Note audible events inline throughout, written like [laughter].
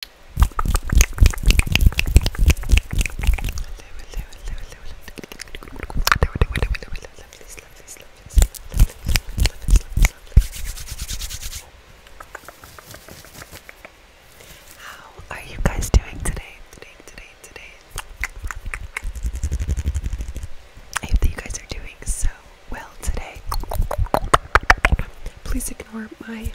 How are you guys doing today? Today, today, today. I hope that you guys are doing so well today. Please ignore my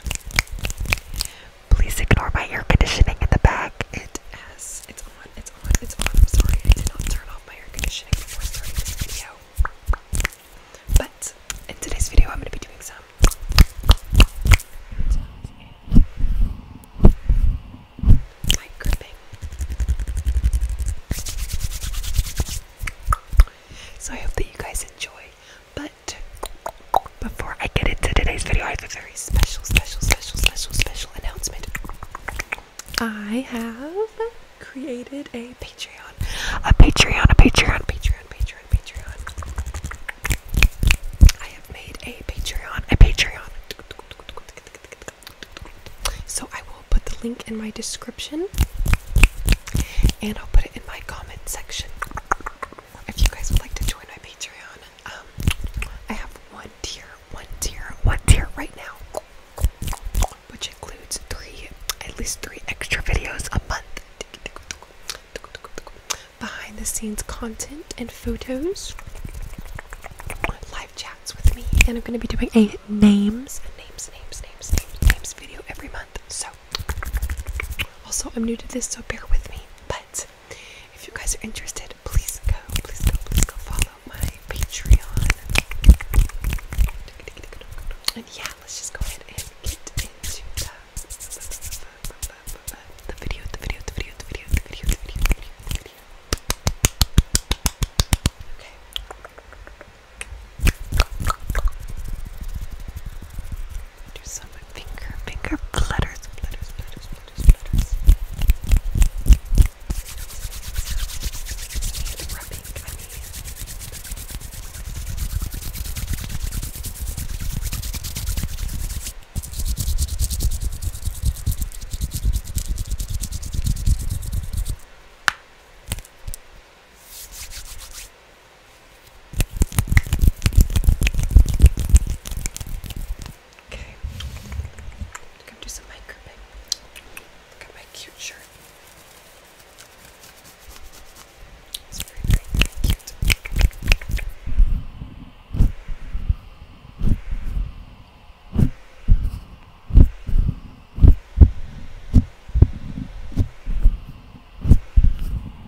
Please ignore my air conditioning in the back. It it's on, it's on, it's on. I'm sorry, I not turn off my air conditioning before starting this video. But in today's video, I'm going to be doing some. Mic gripping. So I hope that you guys enjoy. But but before I get into today's video, I have a very special, special, special, special, special announcement. I have created a Patreon. A Patreon, a Patreon, Patreon, Patreon, Patreon. I have made a Patreon, a Patreon. So I will put the link in my description and I'll put it in my comment section if you guys would like to join my Patreon, um, I have one tier, one tier, one tier right now, which includes three, at least three extra videos a month. Behind the scenes content and photos, live chats with me, and I'm going to be doing a names, names, names, names, names, video every month. So, also, I'm new to this, so bear with me. But if you guys are interested, please go, please go, please go follow my Patreon. And yeah, let's just go ahead and get into the, the video, the video, the video, the video, the video, the video, the video, the video. Okay. Do some finger, finger flutters, flutters, flutters, flutters, flutters. And rubbing, I mean. Okay. Let's come do some mic grouping. Look at my cute shirt. It's very, very, very cute. Okay.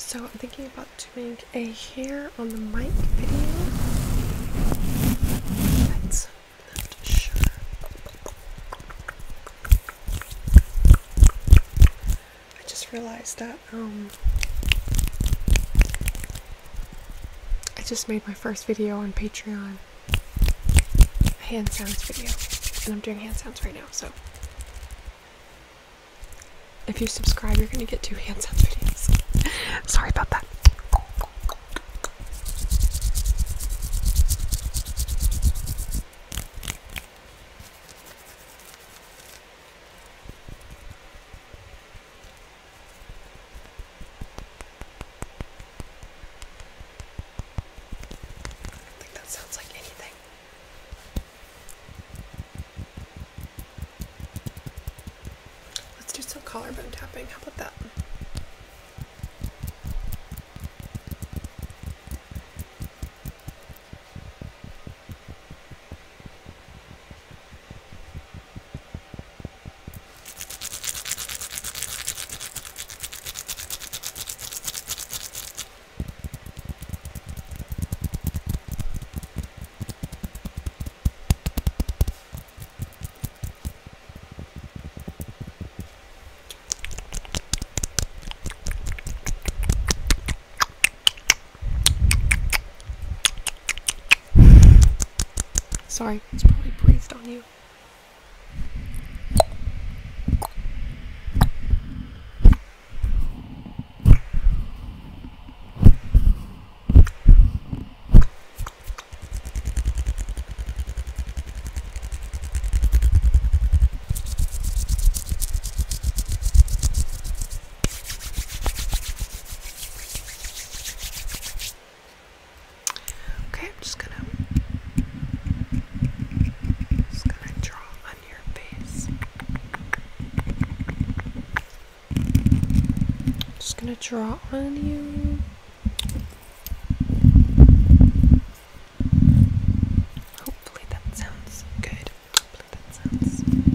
So I'm thinking about doing filmed a hair on the mic video. That's not sure. I just realized that um I just made my first video on Patreon. A hand sounds video. And I'm doing hand sounds right now, so if you subscribe, you're gonna get two hands-up videos. [laughs] Sorry about that. I think that sounds like anything. Let's do some collarbone tapping. How about that? Sorry, it's probably breathed on you. Okay, I'm just gonna just gonna draw your face. Just gonna draw on you. Hopefully that sounds good. okay.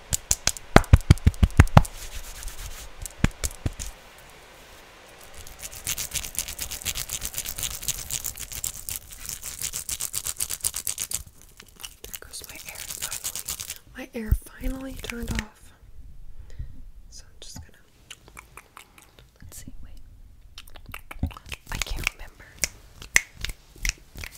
my air finally. My air finally turned off. So I'm just gonna. Let's see, wait. I can't remember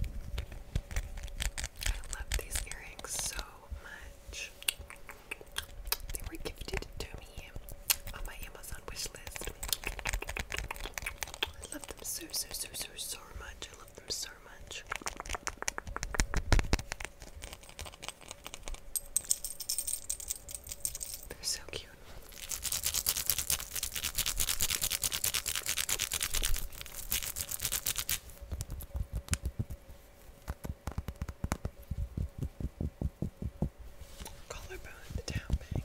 I love these earrings so much. They were gifted to me on my Amazon wish list. I love them so, so, so, so, so much. I love them so much. They're so cute. Collarbone the town bank.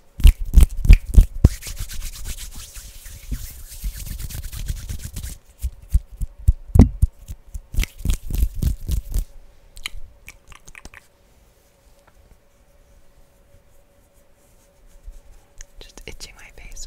Just itching my face.